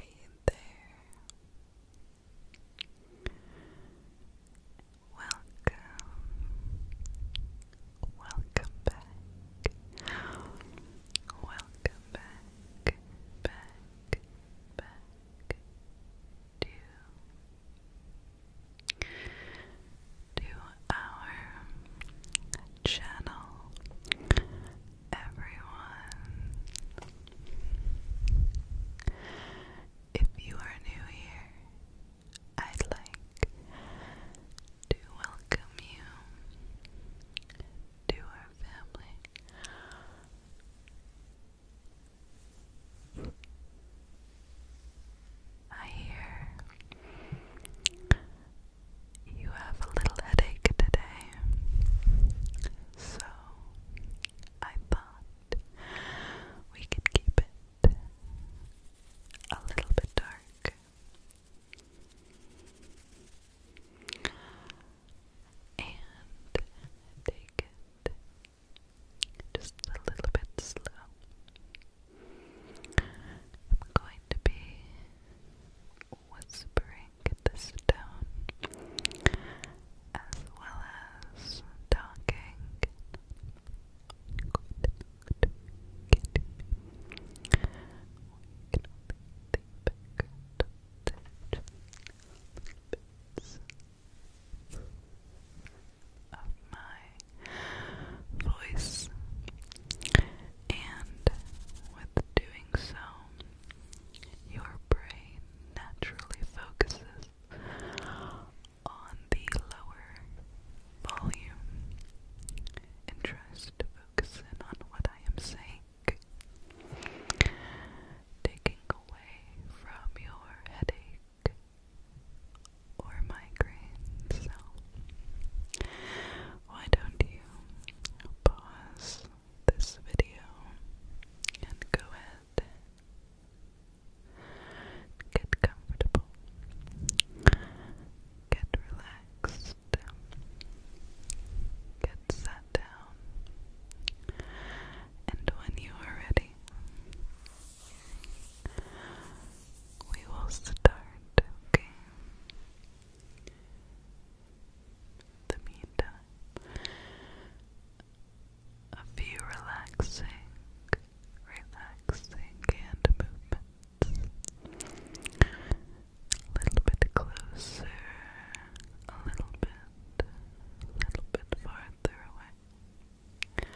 Hey there. Welcome. Welcome back. Welcome back. Back. Back. To to our channel everyone. If you are new here, I'd like to welcome you to our family. I hear you have a little headache today, so I thought we could keep it a little bit dark. And take it just a little bit slow. I'm going to be whispering the stone, as well as talking. Good, good. We can only think of my voice and with doing so, your brain naturally focuses on the lower volume and tries to focus in on what I am saying, taking away from your headache or migraine why don't you pause this video and go ahead get comfortable, get relaxed, get sat down, and when you are ready, we will start, okay? the meantime, a few relaxing, relaxing hand movements. A little bit closer, a little bit, a little bit farther away.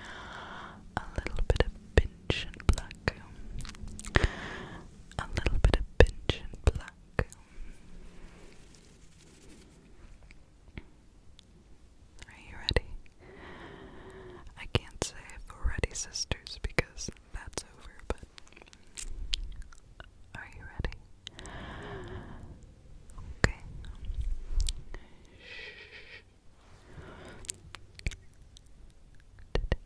A little bit of pinch black. A little bit of pinch black. Are you ready? I can't say if we're sisters, because that's over, but are you ready? Okay.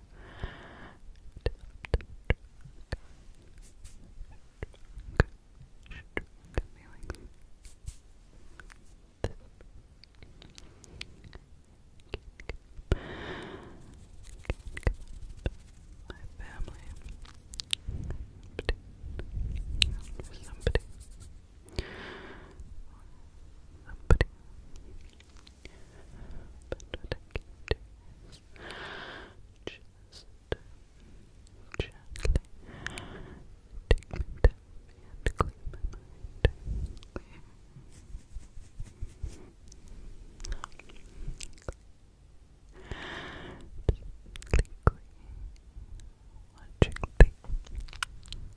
My family, somebody, somebody, but what I can do is just gently take my time and clear my mind. Clear. Deeply Watching the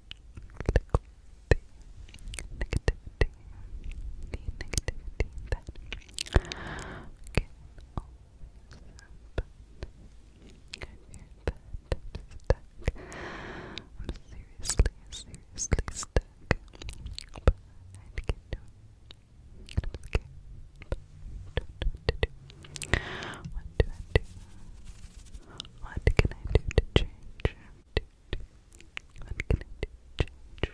negativity, the negativity that can always happen. I hear that I'm seriously, seriously stuck. I can do it. I'm What do I do? What can I do to change? What can I do to change?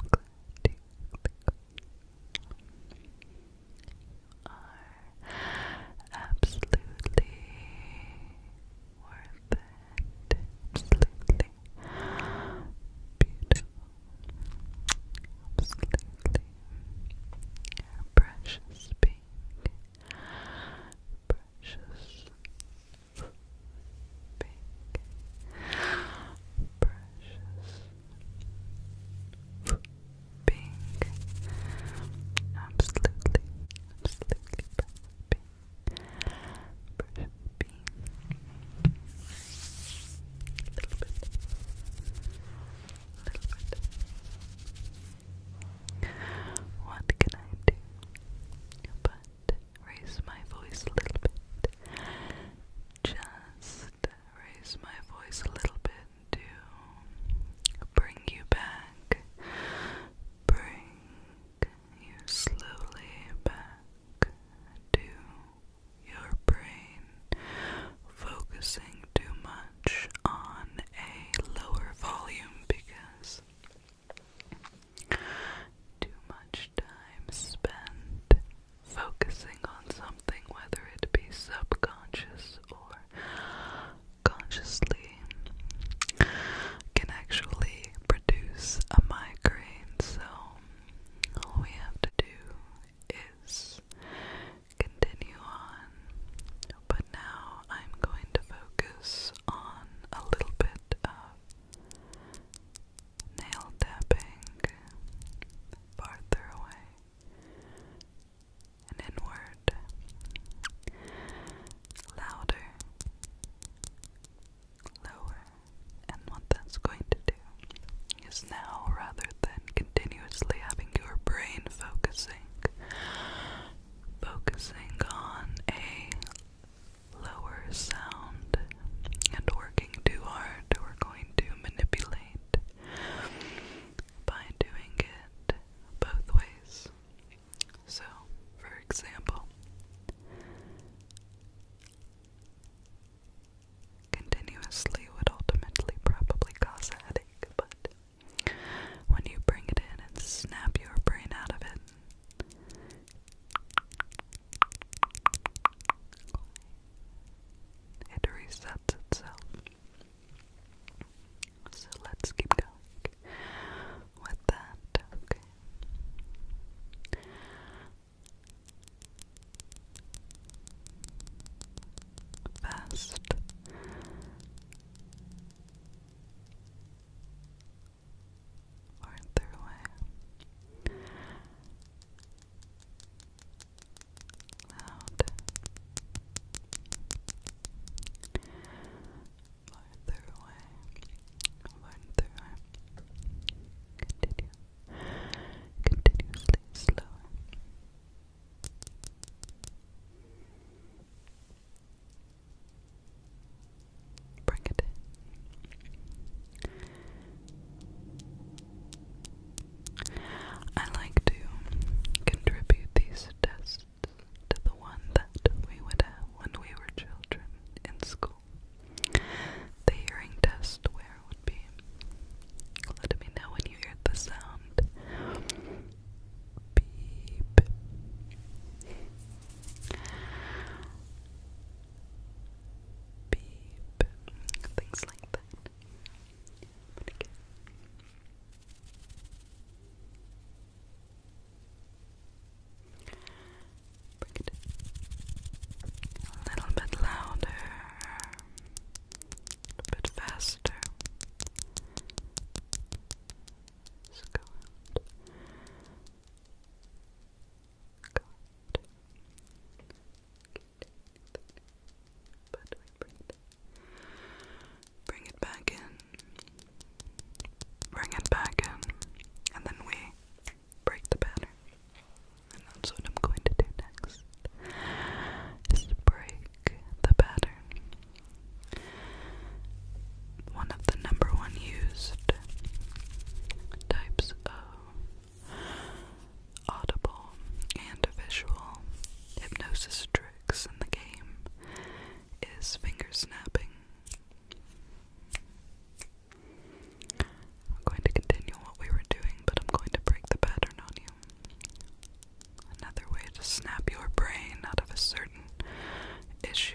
I'm glad you are absolutely worth it. Absolutely beautiful. Absolutely precious being precious pink, precious pink, absolutely, absolutely precious pink, a little bit, a little bit. What can I do but raise my voice a little bit? Just raise my voice a little bit to bring you back, bring you slowly back to your brain, focusing too much on a lower volume because too much time spent focusing on something, whether it be subconscious or consciously, can actually produce a migraine. So, all we have to do is continue on, but now I'm going to focus on a little bit of nail tapping farther away and inward, louder, lower, and what that's going to do is now rather than continuously having your brain focus focusing on a lower sound and working too hard, we're going to manipulate by doing it both ways. So, for example, continuously would ultimately probably cause a headache, but when you bring it in and snap your brain out of it. It resets itself. So let's keep going with that. Okay best or throughway loud or throughway or throughway continue continuously slower Bring it I like to contribute these tests to the one that we would have when we were children in school. The hearing test, where there would be. Let me know when you hear the sound. Beep. Beep. Things like that. But a little bit louder a bit faster. Let's go out. Go out. But we bring Bring it back in. Bring it back in. And then we break the pattern. And that's what I'm going to do next. break the pattern. One of the number one used types of audible and visual hypnosis tricks in the game is finger snapping. I'm going to continue what we were doing, but I'm going to break the pattern on you. Another way to snap your brain out of a certain issue.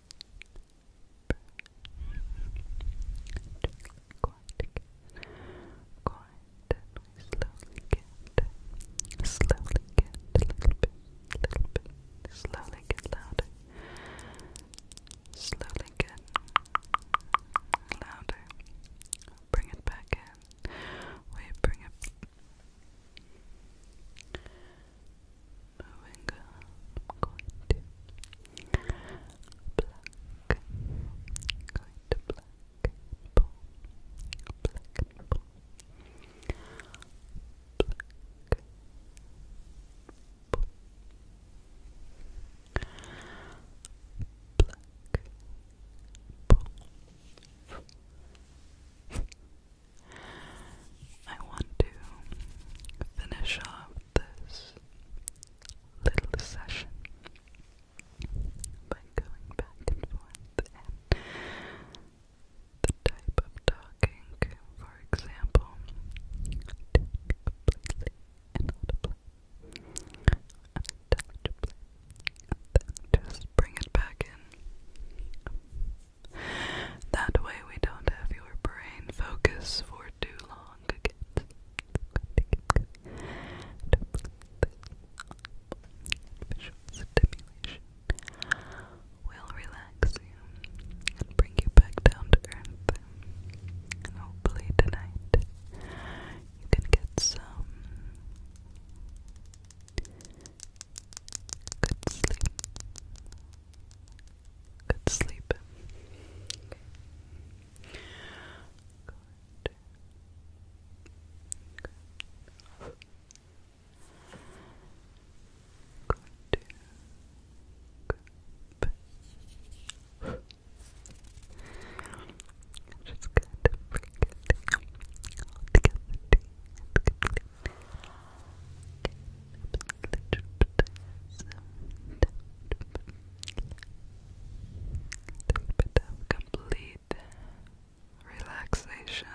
Quiet again. Quiet slowly get slowly get a little bit, little bit, slowly get louder. Slowly get louder. Bring it back in. We bring it Moving on, I'm going to black, going to black and pull, black and black, black, I want to finish off this little session by going back and forth and the type of talking, for example, to be completely inaudible, untouchably, and then just bring it back in, that way we don't have your brain focus for too long again. Visual stimulation will relax you and bring you back down to earth. And hopefully tonight you can get some Good sleep. Good sleep. Good. Good. Good. Just get good complete relaxation.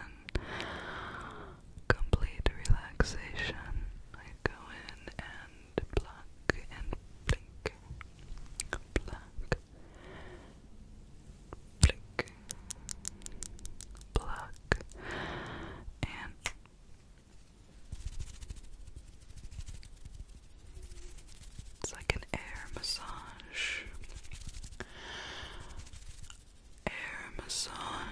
Complete relaxation. I go in and pluck and blink, pluck, blink, pluck, and it's like an air massage. Air massage.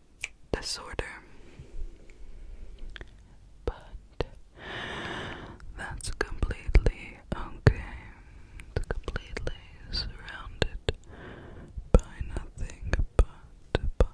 disorder. But that's completely okay. It's completely surrounded by nothing but but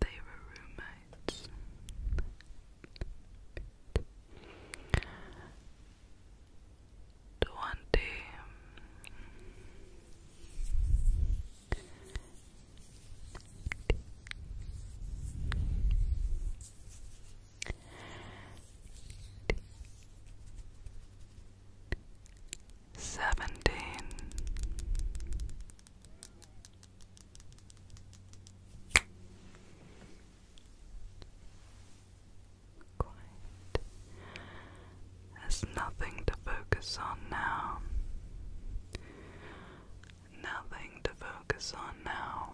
they were roommates. The Seventeen Quiet. There's nothing to focus on now. Nothing to focus on now.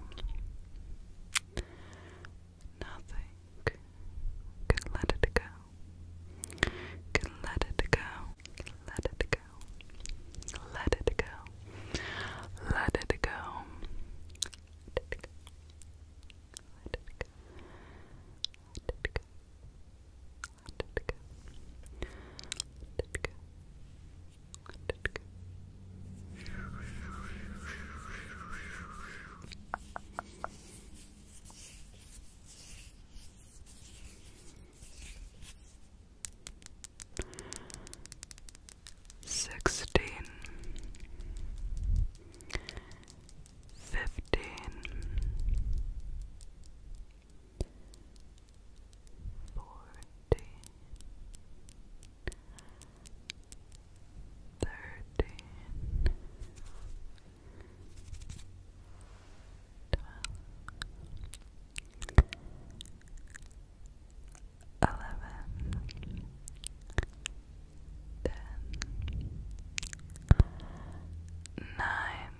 Nothing. can let it go. Can Let it go. Let it go. Let it go. Let it go. Sixteen, fifteen, fourteen, thirteen, twelve, eleven, ten, nine, eight.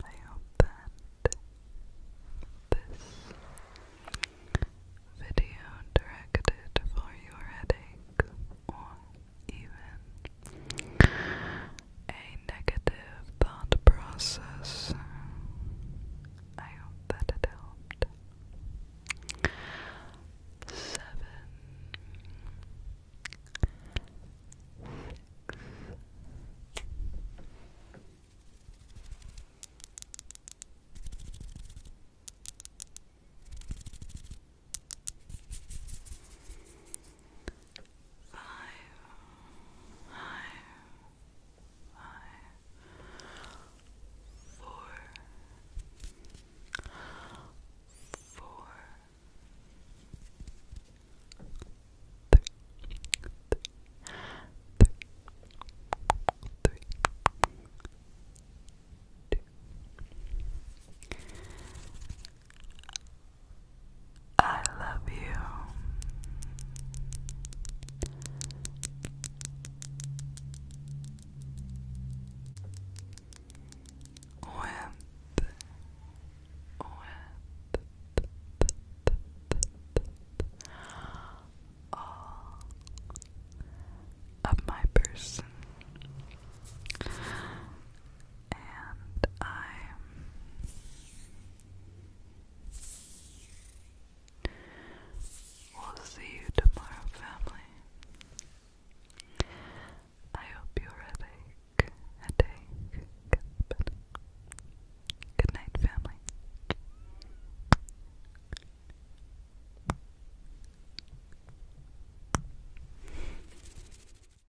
I hope that this video directed for your headache or even a negative thought process. I hope that it helped. Seven, six, Five, five, five, five, four, four, three, three, three, three, two, I love you. With, all of my person and I will see you tomorrow, family. I hope your headache, headache gets better. Good night, family.